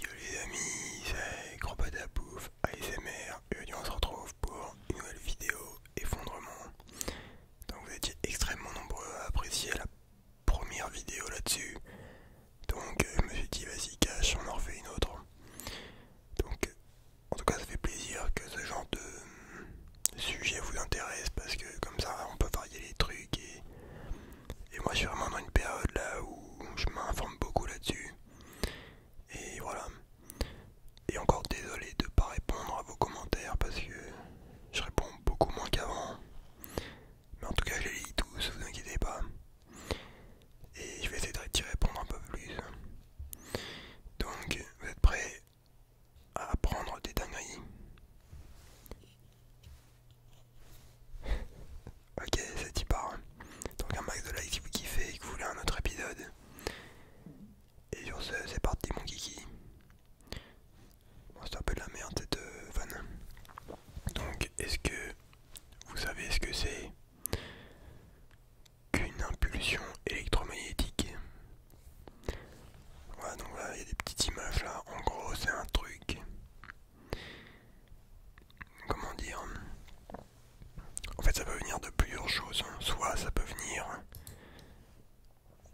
Yo les amis, c'est Gros Pouf ASMR, aujourd'hui on se retrouve pour une nouvelle vidéo effondrement. Donc vous étiez extrêmement nombreux à apprécier la première vidéo là-dessus. Donc euh, je me suis dit vas-y cache, on en refait une autre. Donc en tout cas ça fait plaisir que ce genre de sujet vous intéresse parce que comme ça on peut varier les trucs et et moi, je suis vraiment dans une période là où je m'informe beaucoup là-dessus. Et voilà. Et encore désolé de ne pas répondre à vos commentaires parce que je réponds beaucoup moins qu'avant. Mais en tout cas, je les lis tous, vous inquiétez pas. Et je vais essayer d'y répondre un peu plus. Donc, vous êtes prêts à prendre des dingueries ok, c'est y part. Hein. Donc un max de likes si vous kiffez et que vous voulez un autre épisode. Et sur ce, c'est parti mon kiki. c'est un peu de la merde cette fan. Euh, vanne. Donc, est-ce que vous savez ce que c'est qu'une impulsion électromagnétique Voilà, donc là, il y a des petites images là. En gros, c'est un truc Comment dire En fait, ça peut venir de plusieurs choses. Hein. Soit ça peut venir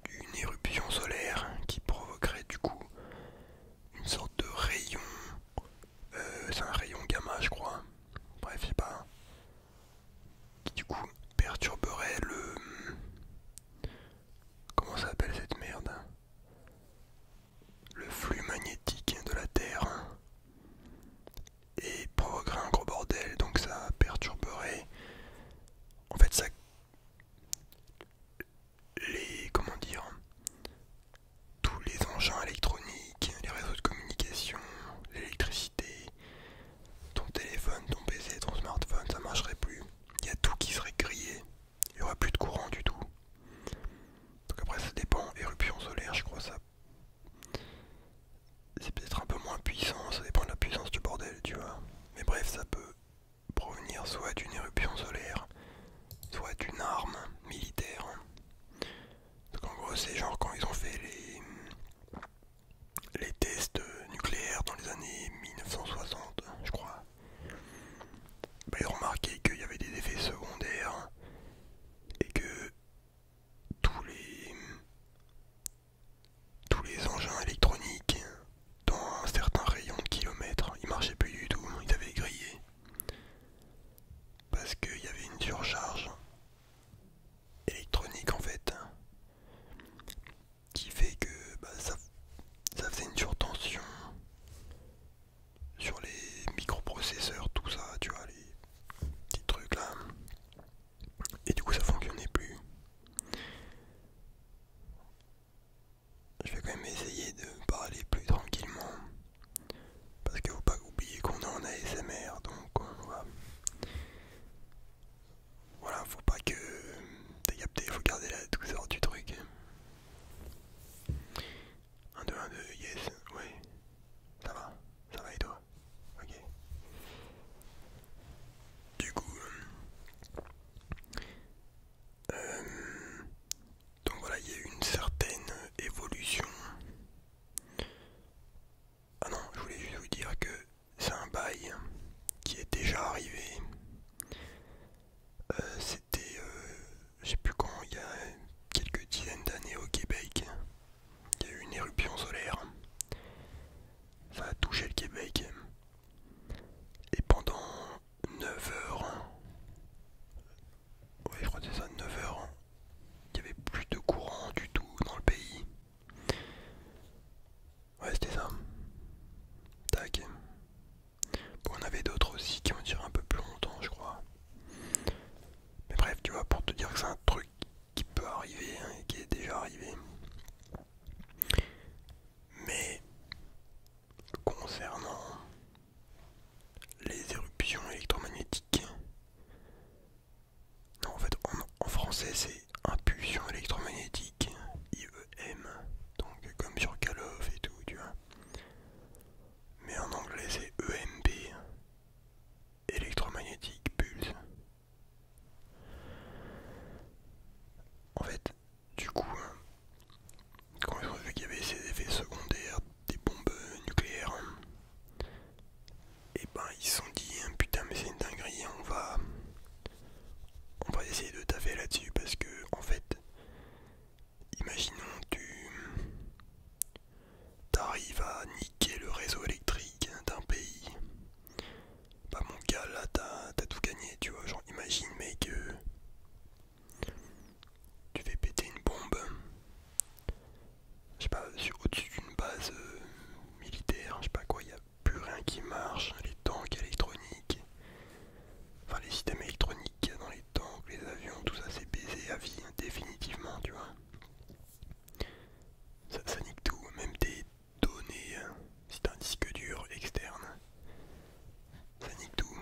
d'une éruption solaire qui provoquerait du coup une sorte de rayon. Euh, c'est un rayon gamma, je crois. Bref, c'est pas. Qui du coup perturberait le. Comment ça s'appelle cette merde le flux magnétique de la Terre et provoquerait un gros bordel, donc ça perturberait. En fait, ça. Les. Comment dire Tous les engins électroniques, les réseaux de communication, l'électricité, ton téléphone, ton PC, ton smartphone, ça marcherait plus. Il y a tout qui serait grillé, il n'y aura plus de courant du tout. Donc après ça dépend, éruption solaire je crois ça. C'est peut-être un peu moins puissant, ça dépend de la puissance du bordel, tu vois. Mais bref, ça peut provenir soit d'une éruption solaire, soit d'une arme militaire. Donc en gros c'est genre quand ils ont fait les les tests nucléaires dans les années 1960, je crois. Vous bah, a remarqué qu'il y avait des effets secondaires et que tous les tous les engins électroniques dans un certain rayon de kilomètres ils marchaient plus du tout, ils avaient grillé parce qu'il y avait une surcharge électronique en fait qui fait que bah, ça, ça faisait une surtension sur les microprocesseurs, tout ça, tu vois, les petits trucs là. Et du coup, ça fonctionnait plus. Je vais quand même essayer de parler plus tranquillement. Parce qu'il faut pas oublier qu'on est en ASMR, donc on euh, va... Voilà, faut pas que... T'as capté, il faut garder la douceur du truc. 1, 2, 1, 2, yes, ouais. Ça va, ça va et toi Ok. Du coup... Euh, euh, donc voilà, il y a eu une certaine évolution. Ah non, je voulais juste vous dire que c'est un bail qui est déjà arrivé euh, c'était, euh, je sais plus quand, il y a quelques dizaines d'années au Québec. Il y a eu une éruption solaire. Ça a touché le Québec. Et pendant 9 heures, ouais, je crois que c'est ça, 9 heures, il n'y avait plus de courant du tout dans le pays. Ouais, c'était ça. Tac on avait d'autres aussi qui ont duré un peu plus longtemps, je crois. Mais bref, tu vois, pour te dire que c'est un truc qui peut arriver hein, et qui est déjà arrivé. Mais concernant les éruptions électromagnétiques, non, en fait, en, français, c'est impulsion électromagnétique, IEM, donc comme sur Call et tout, tu vois. Mais en anglais c'est EMP, électromagnétique pulse. En fait, du coup, hein, quand ils ont vu qu'il y avait ces effets secondaires des bombes nucléaires, et hein, eh ben ils se sont dit hein, putain mais c'est une dinguerie, on va, on va essayer de taffer là-dessus parce que en fait Imaginons tu t'arrives à niquer le réseau électrique d'un pays. pas bah, mon gars là t'as tout gagné, tu vois, genre imagine mec que euh, tu fais péter une bombe. Je sais pas, au-dessus d'une base euh, militaire, je sais pas quoi, il a plus rien qui marche, les tanks électroniques, Enfin, les systèmes électroniques dans les tanks, les avions, tout ça, c'est baisé à vie, hein, définitivement, tu vois. Ça, nique tout, même tes données, hein. si t'as un disque dur externe, ça nique tout.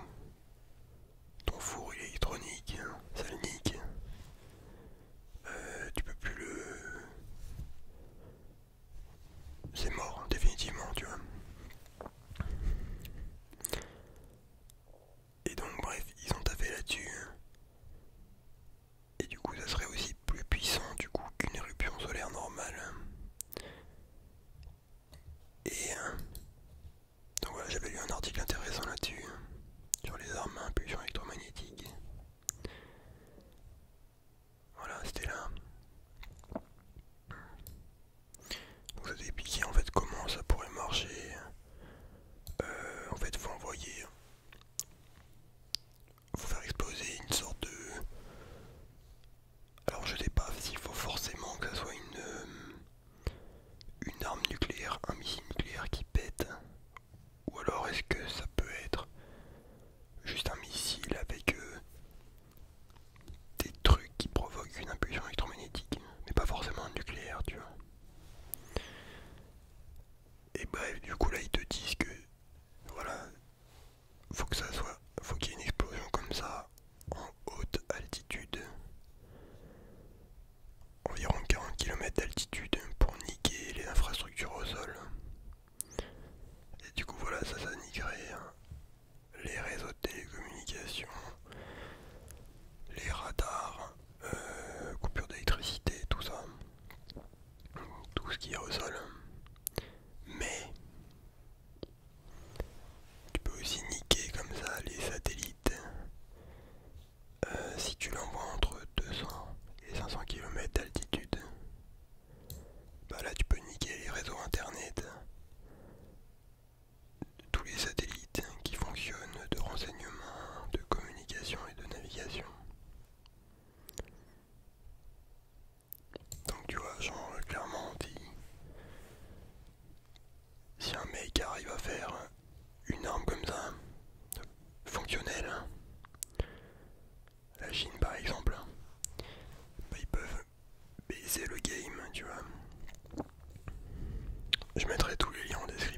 Ton four il est électronique, hein, ça le nique. Euh, tu peux plus le. C'est mort, définitivement, tu vois. Et donc bref, ils ont tapé là-dessus. Et du coup ça serait aussi plus puissant du coup qu'une éruption solaire normale. Et euh, donc voilà, j'avais lu un article intéressant là-dessus, sur les armes à impulsion électromagnétiques. Voilà, c'était là. Vous avez expliqué en fait comment ça pourrait marcher. Euh, en fait, vous envoyez... vous faire exploser une sorte de. Alors je sais pas s'il faut forcément que ça soit une euh, une arme nucléaire, un missile nucléaire qui pète, ou alors est-ce que ça peut être juste un missile avec euh, des trucs qui provoquent une impulsion électromagnétique, mais pas forcément nucléaire, tu vois. Et bref, bah, du coup là ils te disent que voilà, faut que ça soit, faut qu'il y ait une explosion comme ça en haute altitude, environ 40 km d'altitude pour niquer les infrastructures au sol. Et du coup voilà, ça ça niquerait hein les réseaux de télécommunications, les radars, euh, coupures d'électricité, tout ça, tout ce qui est au sol. Mais tu peux aussi niquer comme ça les satellites euh, si tu l'envoies entre 200 et 500 km d'altitude. Bah là tu peux niquer les réseaux internet, tous les satellites qui fonctionnent de renseignement, de communication et de navigation. Donc tu vois, genre clairement dit si un mec arrive à faire une arme comme ça, fonctionnelle, hein. la Chine par exemple, hein. bah, ils peuvent c'est le game, tu vois. Je mettrai tous les liens en description.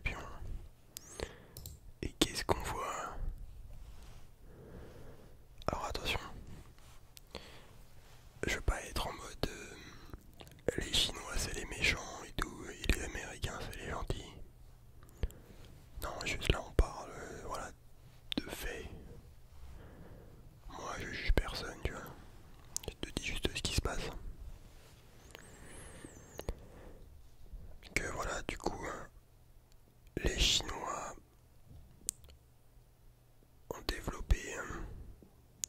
Et qu'est-ce qu'on voit Alors attention, je veux pas être en mode euh, les Chinois c'est les méchants et tout, et les Américains c'est les gentils. Non, juste là on parle, euh, voilà, de fait. Moi, je juge personne, tu vois. Je te dis juste ce qui se passe. Que voilà, du coup, hein, les Chinois ont développé hein,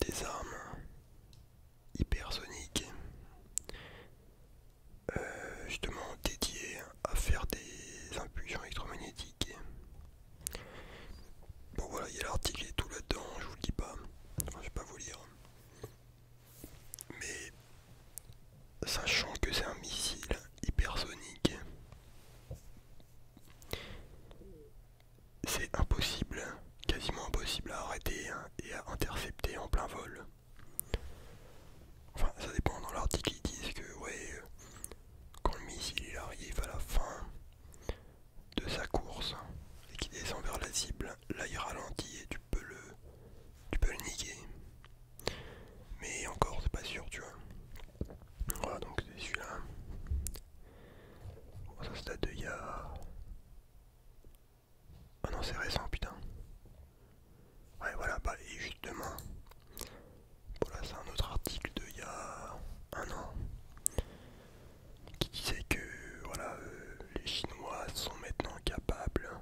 des armes hypersoniques euh, justement dédiées à faire des impulsions électromagnétiques Bon voilà, il y a l'article tout là-dedans, je vous le dis pas. je vais pas vous lire. Mais sachant que c'est un missile hypersonique, c'est impossible, quasiment impossible à arrêter hein, et à intercepter en plein vol. Enfin, ça dépend. Dans l'article, ils disent que ouais, euh, quand le missile arrive à la fin de sa course et qu'il descend vers la cible, là il ralentit et tu peux le, tu peux le niquer. Mais encore, c'est pas sûr, tu vois. Voilà, donc c'est celui-là. ça se date de il y a. Ah non, c'est récent, putain. Ouais, voilà, bah, et justement, voilà, c'est un autre article d'il y a un an qui disait que voilà, euh, les Chinois sont maintenant capables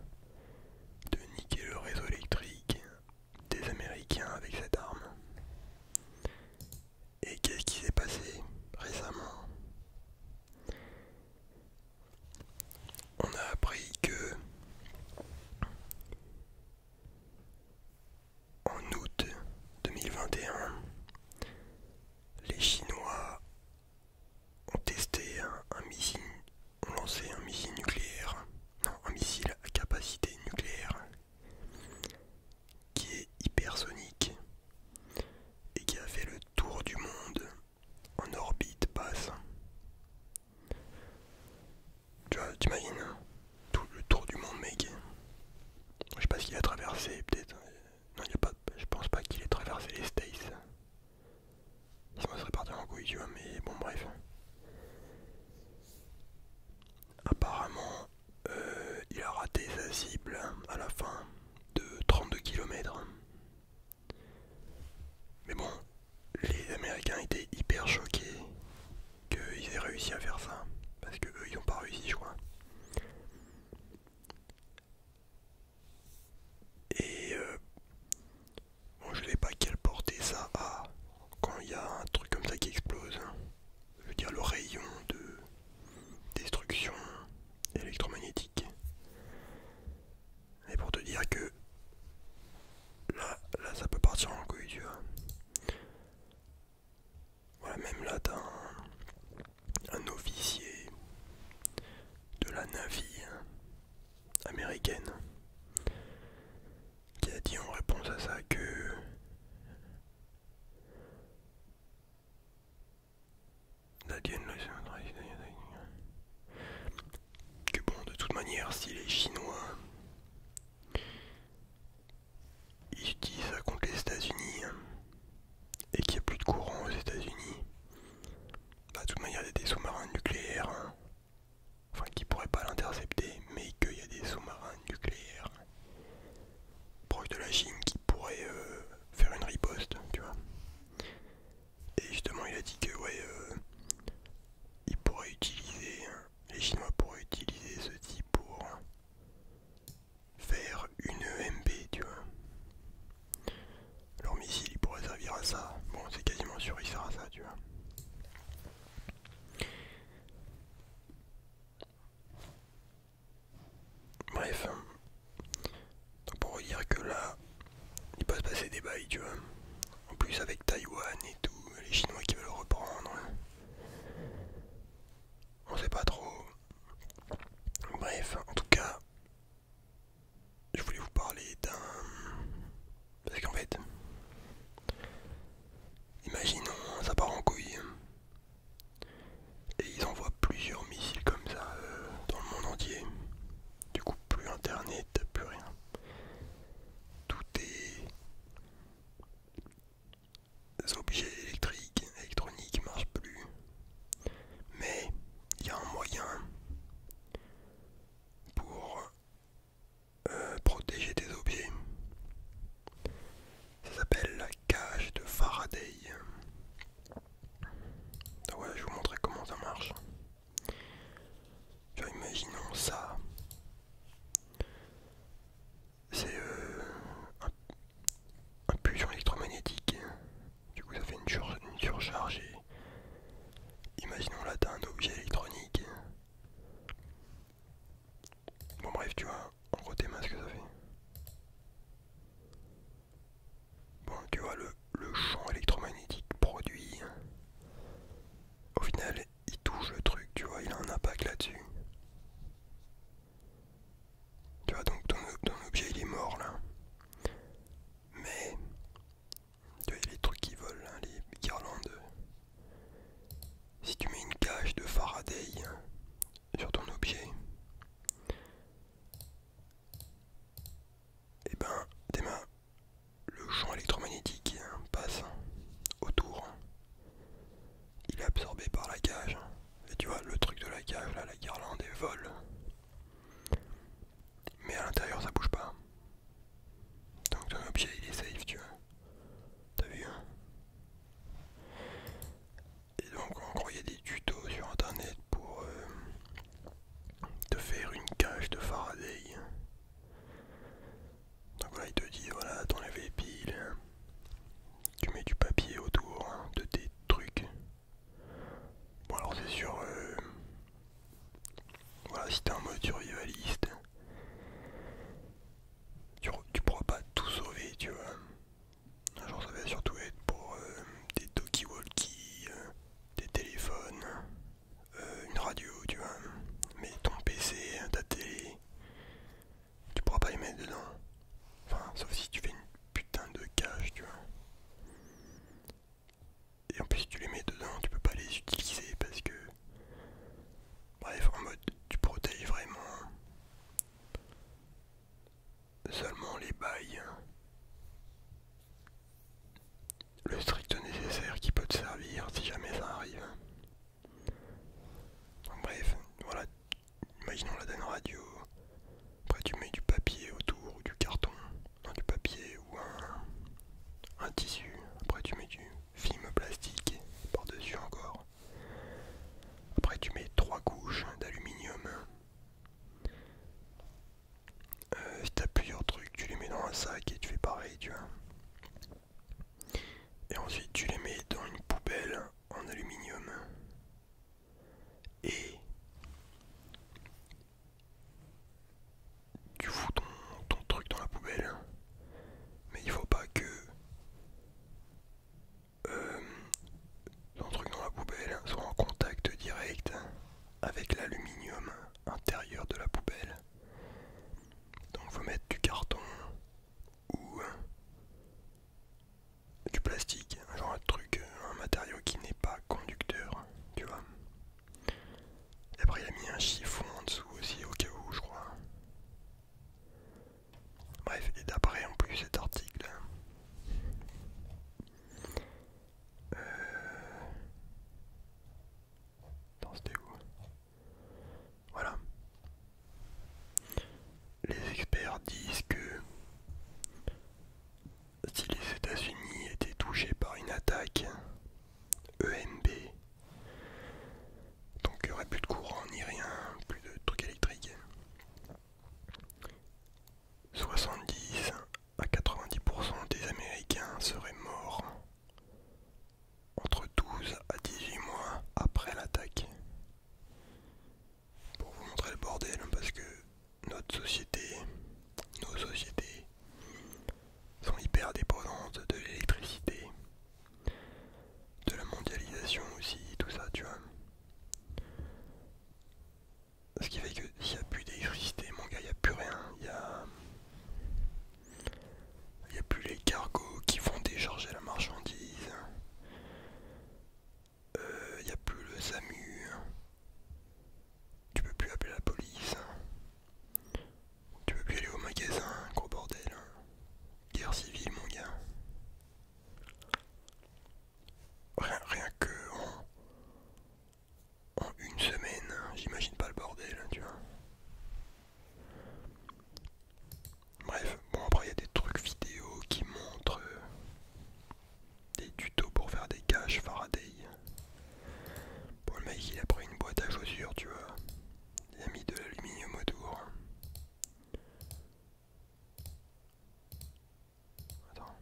de niquer le réseau électrique des Américains avec cette arme. Et qu'est-ce qui s'est passé récemment On a appris que en août 2021, les Chinois ont testé un, missile, ont lancé un missile nucléaire, non, un missile à capacité nucléaire qui est hypersonique et qui a fait le tour du monde en orbite basse. Tu vois, hein, Tout le tour du monde, mec. Je sais pas ce qu'il a traversé, peut-être. Non, il a pas, je pense pas qu'il ait traversé les States. Sinon, ça serait parti en couille, mais bon, bref. Apparemment, euh, il a raté sa cible à la fin de 32 km. Mais bon, les Américains étaient hyper choqués qu'ils aient réussi à faire ça. Parce que eux ils n'ont pas réussi je crois. Et euh, bon je sais pas quelle portée ça a quand il y a un truc comme ça qui explose. Hein. Je veux dire le rayon de destruction électromagnétique. Et pour te dire que là, là ça peut partir en couille tu vois. Voilà, même là, t'as un, officier de la navie hein, américaine qui a dit en réponse à ça que hein, que bon de toute manière si est chinois ils disent ça contre les États-Unis hein. et qu'il n'y a plus de courant aux États-Unis. Bah, de toute manière, il y a des sous-marins nucléaires, hein. enfin qui pourraient pas l'intercepter, mais qu'il y a des sous-marins nucléaires hein. proches de la Chine qui pourraient euh, faire une riposte, tu vois. Et justement, il a dit que ouais, euh, ils pourraient utiliser, hein. les Chinois pourraient utiliser ce type pour faire une EMP, tu vois. Leur missile, il pourrait servir à ça. Bon, c'est quasiment sûr, il sert à ça, tu vois. Bref, hein. on pour dire que là, il peut se passer des bails, tu vois. En plus avec Taïwan et tout, les Chinois qui veulent reprendre. On sait pas trop. Bref, en tout cas, je voulais vous parler d'un... Parce qu'en fait, imaginons, ça part en couille. Et ils envoient plusieurs missiles comme ça euh, dans le monde entier. Du coup, plus internet, plus rien. Tout est les objets électriques, électroniques marchent plus. Mais il y a un moyen pour euh, protéger des objets. Ça s'appelle la cage de Faraday. je vais vous montrer comment ça marche. imaginons ça c'est euh, un, pulsion électromagnétique. Du coup, ça fait une, surcharge. Et, imaginons là, d'un un objet électronique. Bon, bref, tu vois, en gros, tes mains, ce que ça fait. Bon, tu vois, le champ électromagnétique produit, au final, il touche le truc, tu vois, il a un impact là-dessus. Tu vois, donc ton, ton objet il est mort là. Mais, tu vois, il y a les trucs qui volent, hein, les guirlandes. Si tu mets une cage de Faraday hein, sur ton objet, et eh ben tes mains le champ électromagnétique passe autour. Il est absorbé par la cage. Et tu vois, le truc de la cage, là, la guirlande, elle vole. Mais à l'intérieur, ça bouge pas. Donc ton objet, il est safe, tu vois. T'as vu hein. Et donc, on croyait des tutos sur internet pour euh, te faire une cage de Faraday. Donc voilà, il te dit voilà, t'enlèves les hein. piles, tu mets du papier autour hein, de tes trucs. Bon alors c'est sur, euh, voilà, si t'es un mode survivaliste, tu, tu pourras pas tout sauver, tu vois. Genre ça va surtout être pour euh, des talkie-walkie, euh, des téléphones, euh, une radio, tu vois. Mais ton PC, ta télé, tu pourras pas les mettre dedans. Enfin, sauf si tu fais une putain de cage, tu vois. Et en plus, tu les mets dedans, tu peux pas les utiliser parce que. Bref, en mode, tu protèges vraiment seulement les bails le strict nécessaire qui peut te servir si jamais ça arrive. bref, voilà, imaginons la DAN radio, après tu mets du papier autour du carton, du papier ou un, tissu, après tu mets du film plastique par-dessus encore. Après tu mets trois couches d'aluminium. Euh, si t'as plusieurs trucs, tu les mets dans un sac et tu fais pareil, tu vois. Et ensuite tu les mets dans une poubelle en aluminium. Et tu fous ton, truc dans la poubelle. Mais il faut pas que euh, ton truc dans la poubelle soit en contact direct avec l'aluminium intérieur de la poubelle. Donc faut mettre du carton ou euh, du plastique, genre un truc, euh, un matériau qui n'est pas conducteur, tu vois. Et après il a mis un chiffon en dessous aussi au cas où je crois. Bref, et d'après en plus cet article. Hein. Euh, voilà. Les experts disent que si les États-Unis étaient touchés par une attaque EMB, donc il n'y aurait plus de courant ni rien, plus de trucs électriques. 70 à 90% des Américains seraient morts entre 12 à 18 mois après l'attaque. Pour vous montrer le bordel, hein, parce que notre société, nos sociétés sont hyper dépendantes de l'électricité, de la mondialisation aussi, tout ça, tu vois. Ce qui fait que s'il n'y a plus d'électricité, mon gars, il n'y a plus rien. Il y a... Il n'y a plus les cargos qui vont décharger la marchandise. Euh, il n'y a plus le SAMU. Tu peux plus appeler la police. Tu peux plus aller au magasin, gros bordel. Hein. Guerre civile, mon gars. Rien, rien que hein en une semaine. Hein, j'imagine pas le bordel, hein, tu vois. Bref, bon après il y a des trucs vidéo qui montrent euh, des tutos pour faire des caches Faraday. Pour le mec il a pris une boîte à chaussures, tu vois. Il a mis de l'aluminium autour. Attends.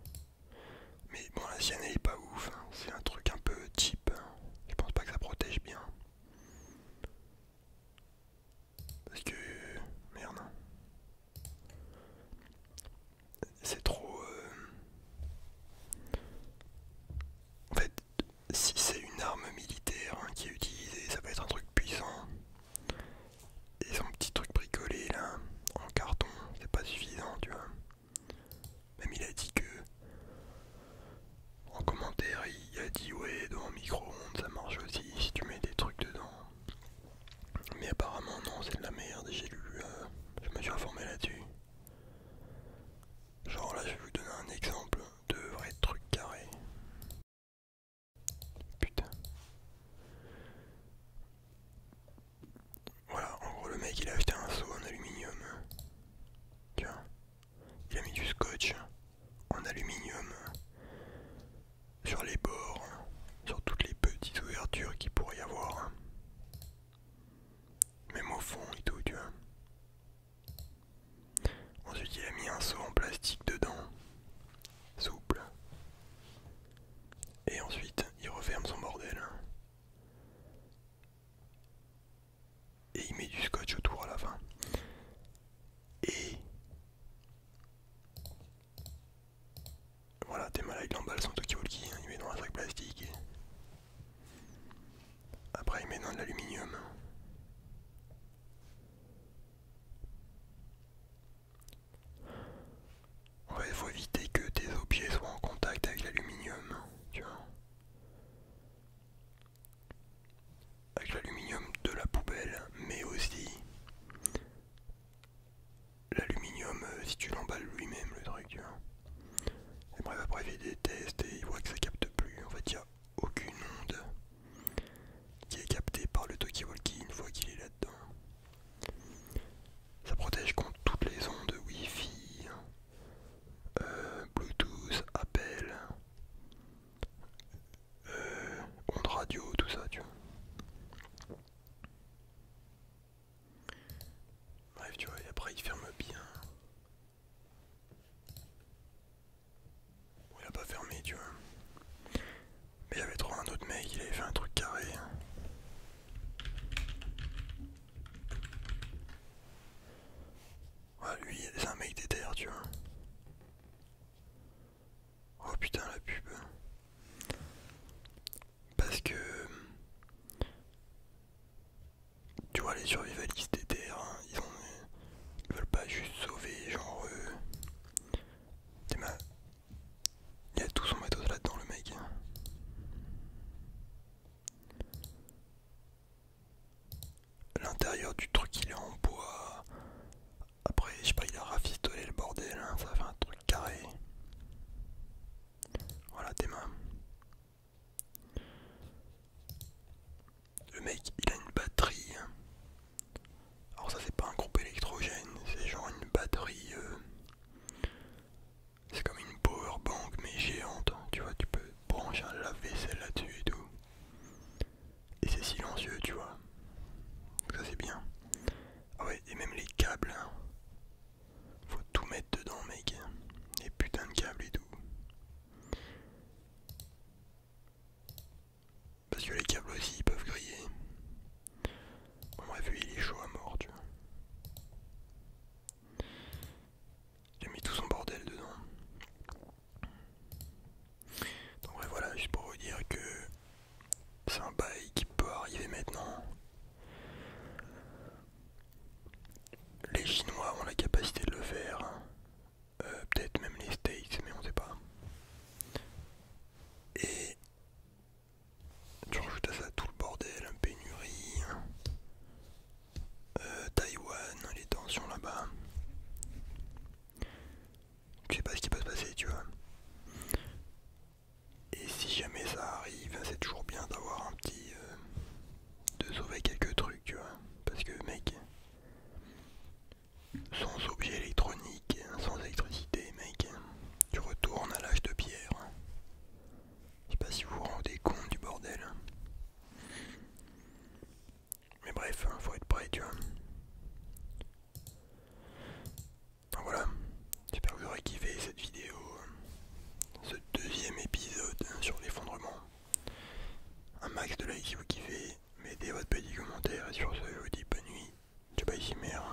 Mais bon, la sienne elle est pas ouf, hein. c'est un truc un peu cheap, hein. Je pense pas que ça protège bien. Parce que. Merde. Hein. C'est trop. Euh, en fait, si c'est une arme militaire qui est utilisée, ça va être un truc puissant. Et son petit truc bricolé là, en carton, c'est pas suffisant, tu vois. Même il a dit que. En commentaire, il a dit ouais, dans micro-ondes ça marche aussi si tu mets des trucs dedans. Mais apparemment, non, c'est de la merde, j'ai lu. Euh, je me suis informé là-dessus. Genre là, je vais vous donner un exemple de vrai truc carré. Putain. Voilà, en gros le mec il a acheté un seau en aluminium. Tiens. Il a mis du scotch en aluminium sur les bords, sur toutes les petites ouvertures qu'il pourrait y avoir. Même au fond et tout, tu vois. Ensuite il a mis un seau en plastique dedans. Souple. Et ensuite il referme son bordel. Et il met du scotch autour à la fin. Et voilà, t'es malade, il emballe son il met dans un sac plastique. Après, il met dans de l'aluminium. il faut éviter que tes objets soient en contact avec l'aluminium. Avec l'aluminium de la poubelle, mais aussi l'aluminium euh, si tu l'emballes lui-même le truc, Et après il fait des tests et il voit que ça capte plus. En fait, il n'y a aucune onde qui est captée par le toky walkie une fois qu'il est là-dedans. Ça protège contre toutes les ondes Wi-Fi, euh, Bluetooth, appel, euh, ondes radio, tout ça, tu vois. Bref, tu vois, et après il ferme bien. il a pas fermé, tu vois. Mais il avait trop un autre mec, il avait fait un truc carré lui, c'est un mec des tu vois. Oh putain, la pub. Parce que. Tu vois, les survivalistes des hein, ils, ont, ils veulent pas juste sauver, genre. Euh, il y a tout son matos là-dedans, le mec. L'intérieur du truc il est en bois. Après, je sais pas, il a rafistolé le bordel, hein, ça fait un truc carré. Voilà tes mains. Le mec, il a une batterie. Hein. Alors ça c'est pas un groupe électrogène, c'est genre une batterie euh, c'est comme une power mais géante, tu vois, tu peux brancher un lave-vaisselle là-dessus et tout. Et c'est silencieux, tu vois. ça c'est bien. Ah ouais, et même les câbles. Hein. Faut tout mettre dedans, mec. Les putains de câbles et tout. Parce que les câbles aussi ils peuvent griller. on bref, vu il est chaud à mort, tu vois. J'ai mis tout son bordel dedans. Donc voilà, juste pour vous dire que c'est un bail qui peut arriver maintenant. Les Chinois ont la capacité de le faire. Hein. Euh, peut-être même les States, mais on sait pas. Et tu rajoutes à ça tout le bordel, la pénurie, euh, Taïwan, les tensions là-bas. Tu sais pas ce qui peut se passer, tu vois. Et si jamais ça arrive, ben, c'est toujours bien d'avoir un petit. Euh, de sauver quelques trucs, tu vois. Parce que, mec, sans objet électronique, sans électricité, mec, tu retournes à l'âge de pierre. Je sais pas si vous vous rendez compte du bordel. Mais bref, hein, faut être prêt, tu vois. voilà, j'espère que vous aurez kiffé cette vidéo, ce deuxième épisode hein, sur l'effondrement. Un max de likes si vous kiffez, mettez votre petit commentaire et sur ce je vous dis bonne nuit, ciao bye mer